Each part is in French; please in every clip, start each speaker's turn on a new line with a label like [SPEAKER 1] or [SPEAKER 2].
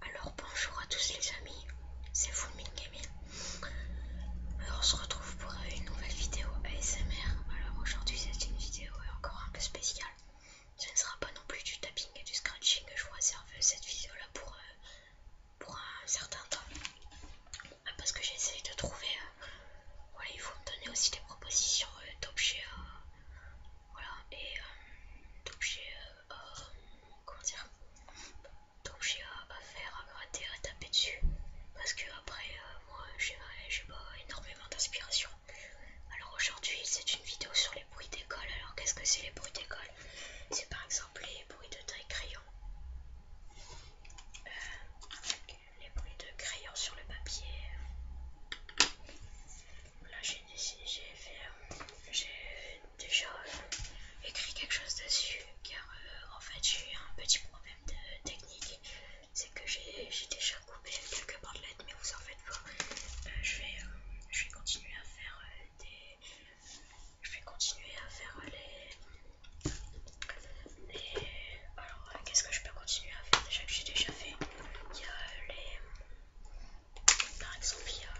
[SPEAKER 1] Alors bonjour à tous les amis, c'est Fulmin Alors euh, on se retrouve pour une nouvelle vidéo ASMR. Alors aujourd'hui c'est une vidéo encore un peu spéciale. Ce ne sera pas non plus du tapping et du scratching. Je vous réserve cette vidéo là euh, pour, un certain temps. Ah, parce que j'essaye de trouver... Euh, voilà, il faut me donner aussi des propositions d'objets voilà, et euh, donc j'ai euh, euh, comment dire à, faire, à gratter, à taper dessus parce que après moi j'ai pas énormément d'inspiration. Alors aujourd'hui c'est une vidéo sur les bruits d'école. Alors qu'est-ce que c'est les bruits d'école C'est par exemple les bruits de taille crayon. les bruits de crayon sur le papier. Là, euh, j'ai déjà euh, écrit quelque chose dessus car euh, en fait j'ai eu un petit problème de technique, c'est que j'ai déjà coupé quelques bordelettes, mais vous en faites pas. je, vais, continuer à faire des, je vais continuer à faire les alors, euh, qu'est-ce que je peux continuer à faire Déjà que j'ai déjà fait, il y a euh, les. Par exemple, il y a.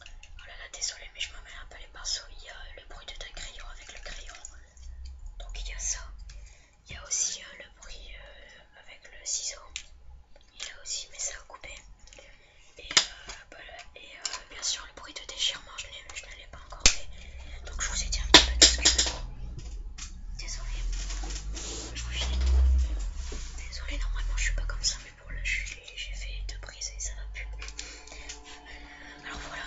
[SPEAKER 1] Oh là là, désolé, mais je mets un peu les pinceaux. Il y a euh, le bruit de ta crayon avec le crayon. Donc, il y a ça. Il y a aussi le bruit avec le ciseau. Il y a aussi, mais ça a Et, bien sûr, le bruit de déchirement, je l'ai pas encore fait. Donc je vous ai dit un petit peu tout désolé je Désolée. vous finis. Désolée, normalement je suis pas comme ça, mais pour là j'ai fait deux brises et ça va plus. Euh, alors voilà.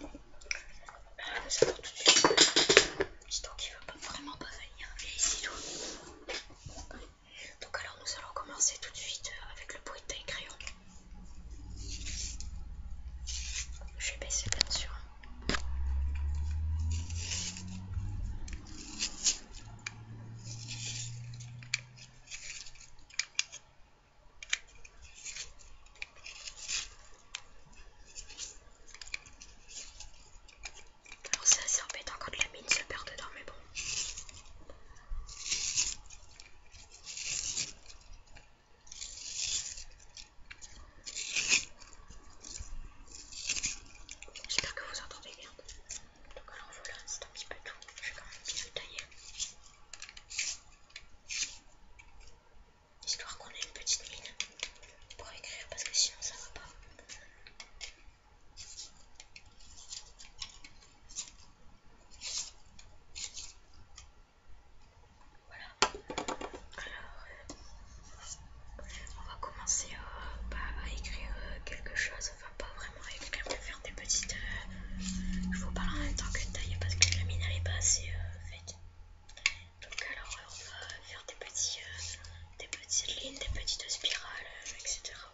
[SPEAKER 1] on euh, ça va tout de suite. Sinon qui veut pas, vraiment pas venir. Et ici toi. Donc alors nous allons commencer tout de suite euh, avec le bruit de taille crayon. Je vais bien sûr. Alors c'est assez embêtant quand la mine se perd dedans mais bon. J'espère que vous entendez bien. Donc alors voilà, c'est un petit peu tout. Je vais quand même bien le tailler. Histoire qu'on ait une petite mine pour écrire parce que sinon ça va pas. Voilà. Alors, on va commencer euh, bah, à écrire euh, quelque chose. Enfin, pas vraiment écrire, mais faire des petites. Euh, je vous parle en même temps que taille parce que la mine elle est pas assez faite. Donc, alors, on va faire des petits. des petites lignes, des petites spirales, etc.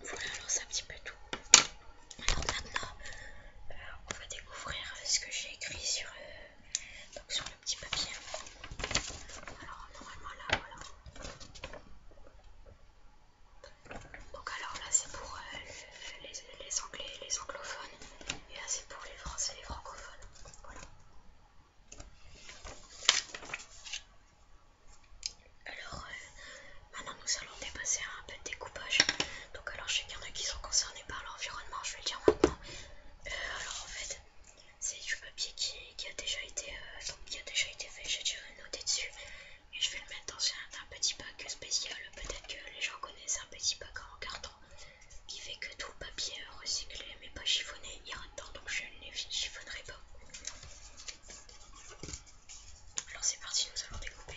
[SPEAKER 1] Voilà, alors c'est un petit peu tout. Alors maintenant, euh, on va découvrir ce que j'ai écrit euh, sur, le petit papier. Alors normalement là, voilà. Donc alors là, c'est pour euh, les anglais, les anglophones. Et là, c'est pour les Français et les francophones. Voilà. Alors, euh, maintenant nous allons dépasser un peu découpage. Donc, alors je sais qu'il y en a qui sont concernés par l'environnement, je vais le dire maintenant. Euh, alors, en fait, c'est du papier qui, a déjà été, euh, déjà été fait. J'ai déjà noté dessus et je vais le mettre dans un, petit bac spécial. Peut-être que les gens connaissent. C'est un petit paquet en carton qui fait que tout papier recyclé mais pas chiffonné Il y ira temps donc je ne les chiffonnerai pas. Alors c'est parti, nous allons découper.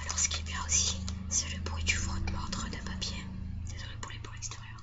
[SPEAKER 1] Alors ce qui est bien aussi, c'est le bruit du frottement de deux papier. Désolé pour les pour l'extérieur.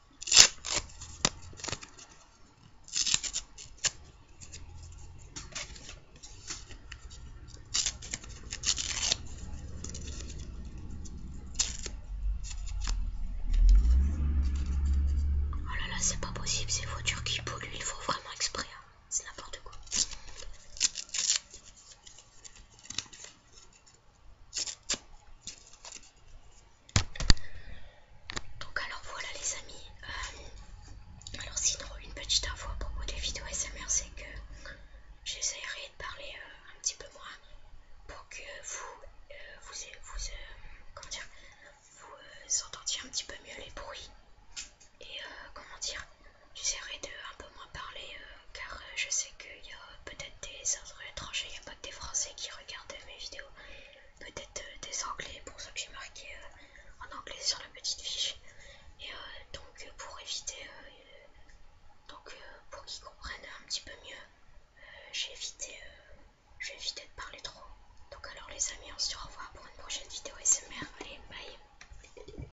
[SPEAKER 1] Oh là là, c'est pas possible, ces voitures qui polluent, il faut vraiment exprès. Hein. C'est n'importe quoi. Donc alors voilà les amis, euh, alors sinon une petite info à propos des vidéos SMR c'est que j'essaierai de parler euh, un petit peu moins pour que vous euh, vous, entendiez un petit peu mieux les bruits et comment dire J'essaierai de un peu moins parler euh, car euh, je sais qu'il y a peut-être des étrangers, il n'y a pas que des Français qui regardent mes vidéos, peut-être euh, des Anglais pour ça que j'ai marqué en anglais sur la petite fiche. Et donc pour éviter, donc pour qu'ils comprennent un petit peu mieux, j'ai évité, de parler trop. Donc alors les amis, on se revoit pour une prochaine vidéo SMR. Allez, bye